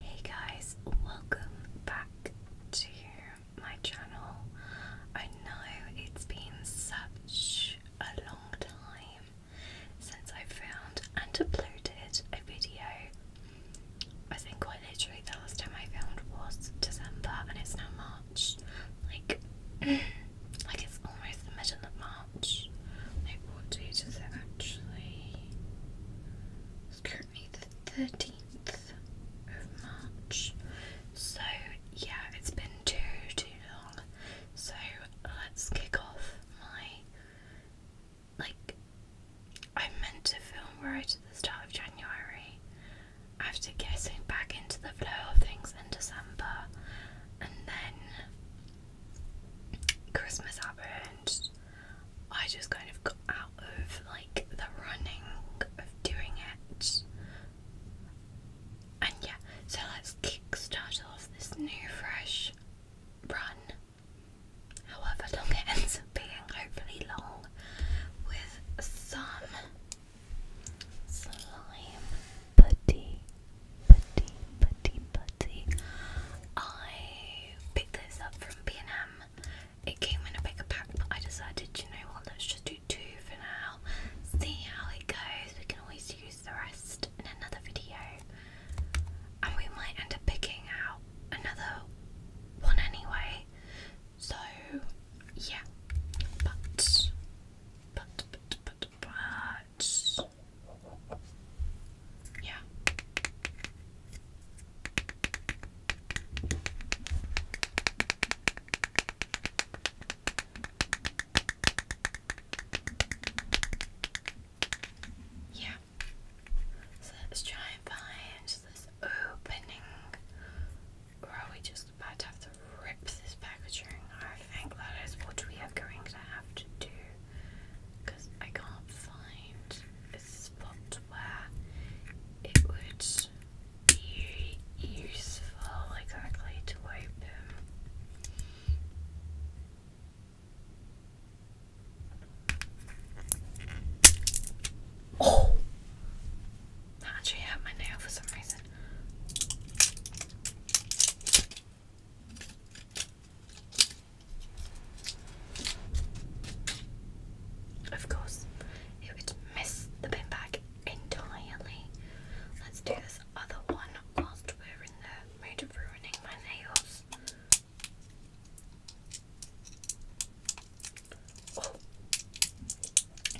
Hey guys, welcome back to my channel. I know it's been such a long time since I found and uploaded a video. I think quite literally the last time I found was December and it's now March. Like like it's almost the middle of March. Like what date is it actually? It's currently the 13th of March. So, yeah, it's been too, too long. So, let's kick off my. Like, I meant to film right at the start of January after getting back into the flow of things in December, and then Christmas happened, I just kind of got out of like the running of doing it. And yeah, so let's kickstart off this new fresh run, however long it ends up being, hopefully long, with some slime putty, putty, putty, putty. I picked this up from B&M. It came in a bigger pack, but I decided, you know what, let's just do two for now. See how it goes. We can always use the rest in another video. And we might end up picking out another one anyway. So, yeah. But, but, but, but, but. Yeah. Yeah. So let's try and find opening. Or are just about to have to rip this packaging? I think that is what we are going to have to do because I can't find a spot where it would be useful exactly to open. Oh! That actually hurt my nail for some reason. Of course, it would miss the bin bag entirely. Let's do this other one whilst we're in the mood of ruining my nails. Oh,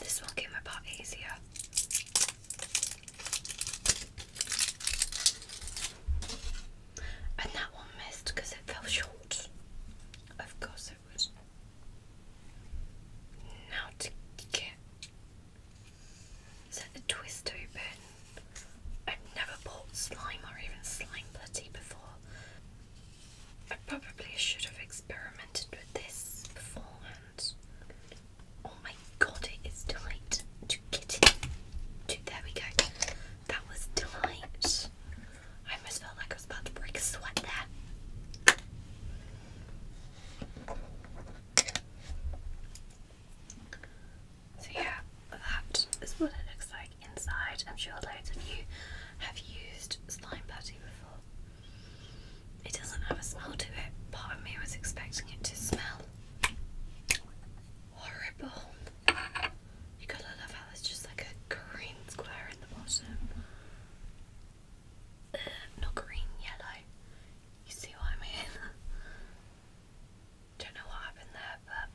this will get my part easier. And that one missed because it fell short. Of course it would. Now to get. Is the twist open? I've never bought slime or even slime putty before. I probably should have experimented with this beforehand. Oh my god, it is tight to get it. there we go. That was tight. I almost felt like I was about to break a sweat there. So yeah, that is what it looks like inside. I'm sure loads of you have used slime putty before. It doesn't have a smell to it. Part of me was expecting it to smell Horrible. You gotta love how there's just like a green square in the bottom. Uh, not green, yellow. You see what I mean? Don't know what happened there, but.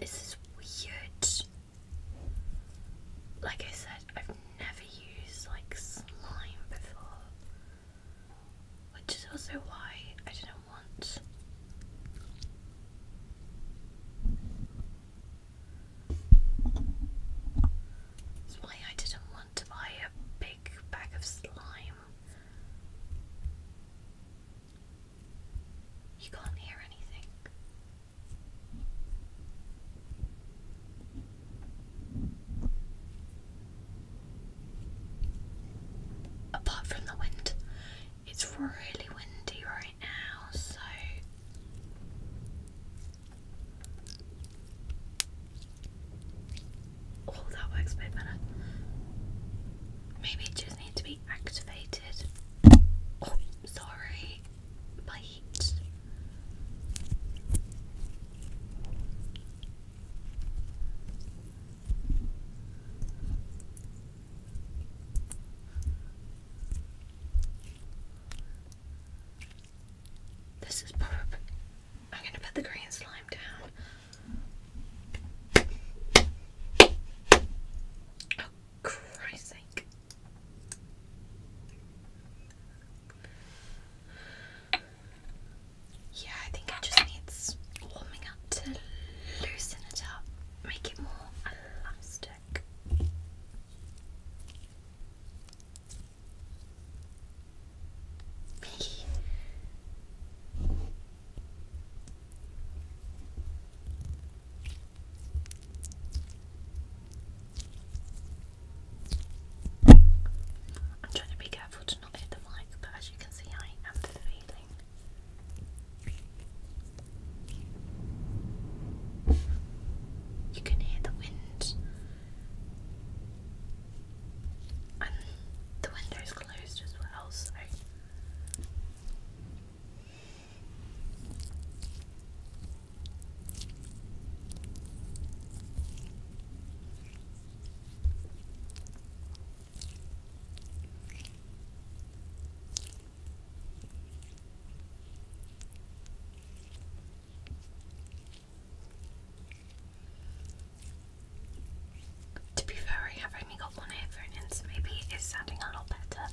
This is weird. Like I said, I've never used like slime before, which is also why I didn't want that's why I didn't want to buy a big bag of slime. You can't hear anything. Apart from the wind, it's really windy right now, so oh, that works better. Maybe it just needs to be activated. Oh, sorry. Bye. This is perfect. I'm going to put the green slime down. Christ's Yeah, I think it just needs warming up to loosen it up, make it more elastic. I'm trying to be careful to not hit the mic, but as you can see, I am feeling. You can hear the wind, and the window is closed as well, so to be fair, I got one earphone in, maybe it's sounding a lot better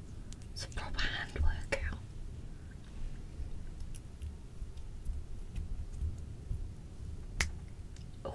It's a proper hand workout. Oh.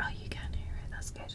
Oh, you can hear it, that's good.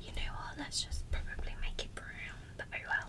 You know what? Let's just probably make it brown, but oh well.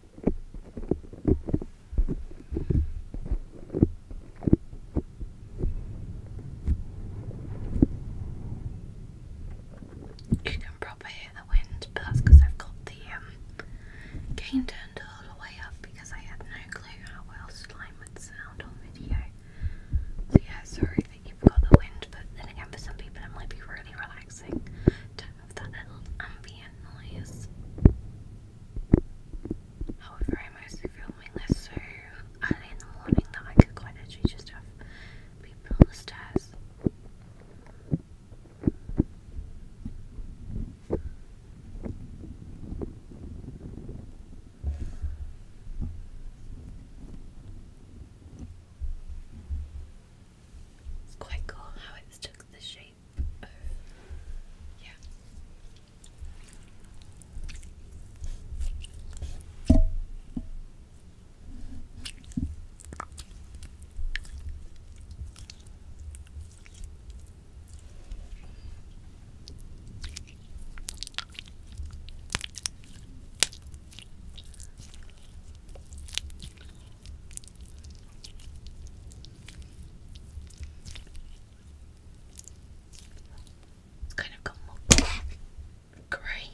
You can probably hear the wind, but that's because I've got the gain um, turned all the way up because I had no clue how well slime would sound on video. So yeah, sorry that you've got the wind, but then again, for some people it might be really relaxing of the little ambient noise. However, I'm mostly filming this so early in the morning that I could quite literally just have people on the stairs. It's quite cool how it's took the shape of yeah. It's kind of got more grey.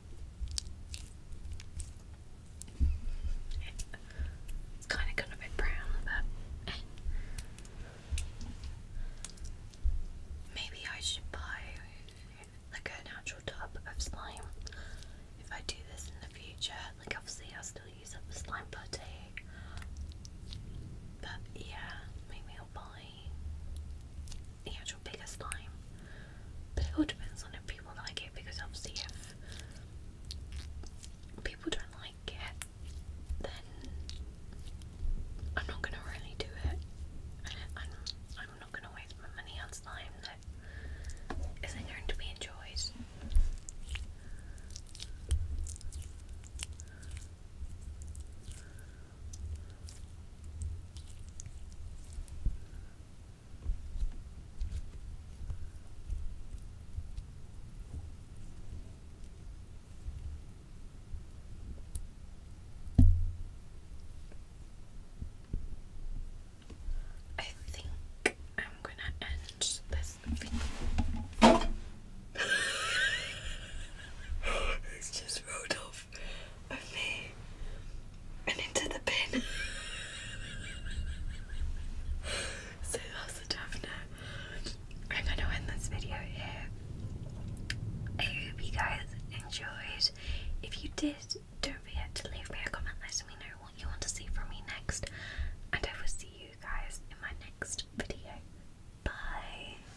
It's kind of got a bit brown, but maybe I should buy like a natural tub of slime if I do this in the future. Like, obviously, i still use up slime putty, but yeah, maybe I'll buy the actual biggest slime. But it all depends on if people like it because obviously if people don't like it then I'm not gonna really do it. I'm not gonna waste my money on slime that isn't going to be enjoyed. I think I'm gonna end this video. it's just rolled and into the bin. so that's a tough note. I'm gonna end this video here. I hope you guys enjoyed. If you did, don't forget to leave me a comment letting me know what you want to see from me next. And I will see you guys in my next video. Bye!